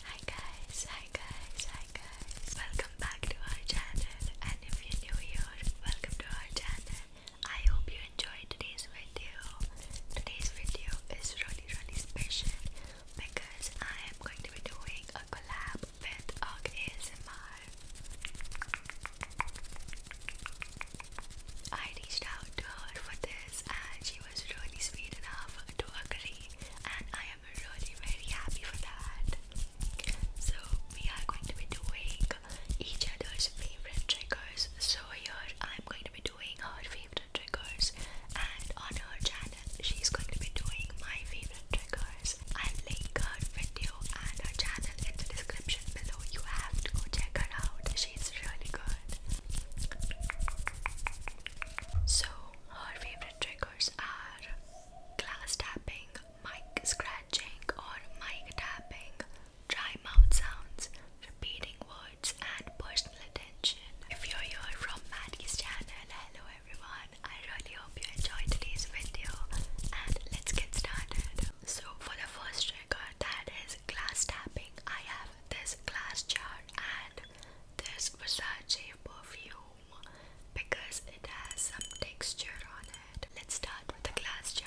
Hi guys, hi guys, hi guys. Welcome back to our channel and if you're new here, welcome to our channel. I hope you enjoyed today's video. Today's video is really really special because I am going to be doing a collab with Og ASMR. I reached out to her for this and she was really sweet enough to agree and I am really really happy for that. So we are going to be doing each other's favorite triggers. So I'm going to be doing her favorite triggers and on her channel she's going to be doing my favorite triggers. I'll link her video and her channel in the description below. You have to go check her out. She's really good. So her favorite triggers are glass tapping, mic scratching or mic tapping, dry mouth sounds, repeating words and personal attention. If you're here from Maddie's channel, hello everyone. I really hope you enjoyed today's video and let's get started. So for the first trigger that is glass tapping, I have have this glass jar and this Versace perfume because it has some texture on it. Let's start with the glass jar.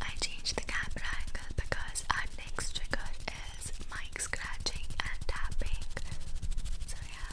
I changed the camera because our next trigger is mic scratching and tapping. So, yeah.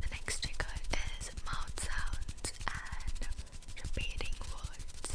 The next trigger is mouth sounds and repeating words.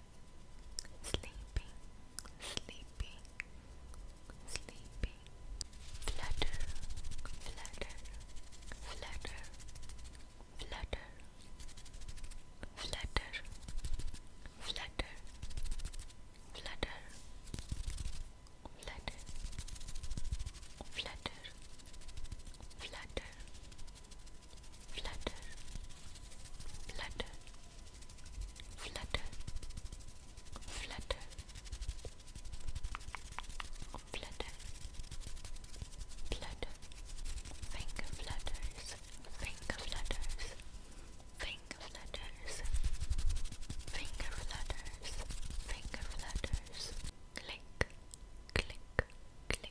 sleepy, sleepy, sleepy, flutter, flutter, flutter, flutter, flutter, flutter, flutter, flutter, flutter, flutter flutter, flutter, flutter, flutter, flutter, flutter, finger flutters, finger flutters, finger flutters, finger flutters, finger flutters, click, click, click.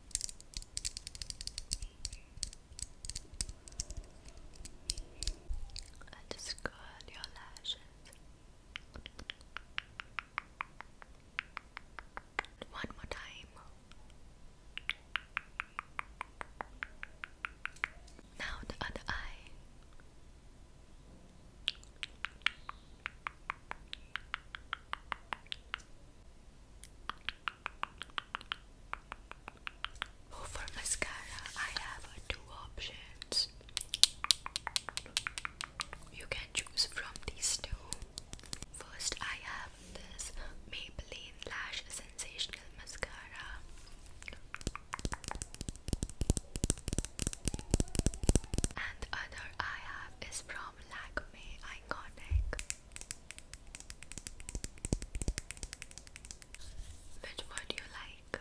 And just your lashes. One more time. Now the other eye. Oh, for mascara, I have uh, two options. You can choose from these two. First, I have this Maybelline Lash Sensational Mascara. And other I have is from from Lakme Iconic Which one do you like?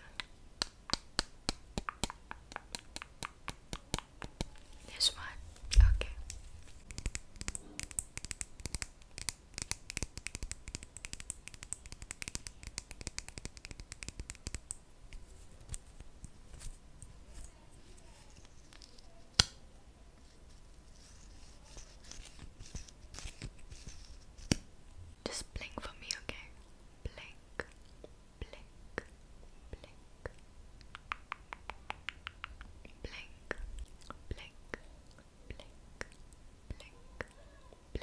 This one? Okay just blink for me, okay? Blink, blink, blink, blink, blink, blink, blink,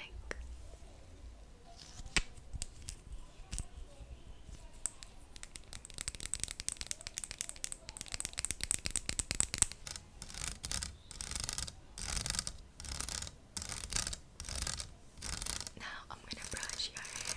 blink. Now I'm going to brush your hair.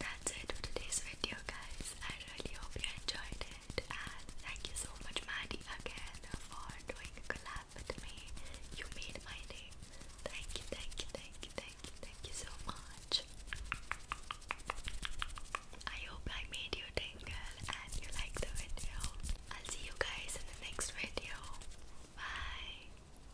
that's it for today's video, guys. I really hope you enjoyed it, and thank you so much, Maddie, again for doing a collab with me. You made my day. Thank you, thank you, thank you, thank you, thank you so much. I hope I made you tingle and you liked the video. I'll see you guys in the next video. Bye.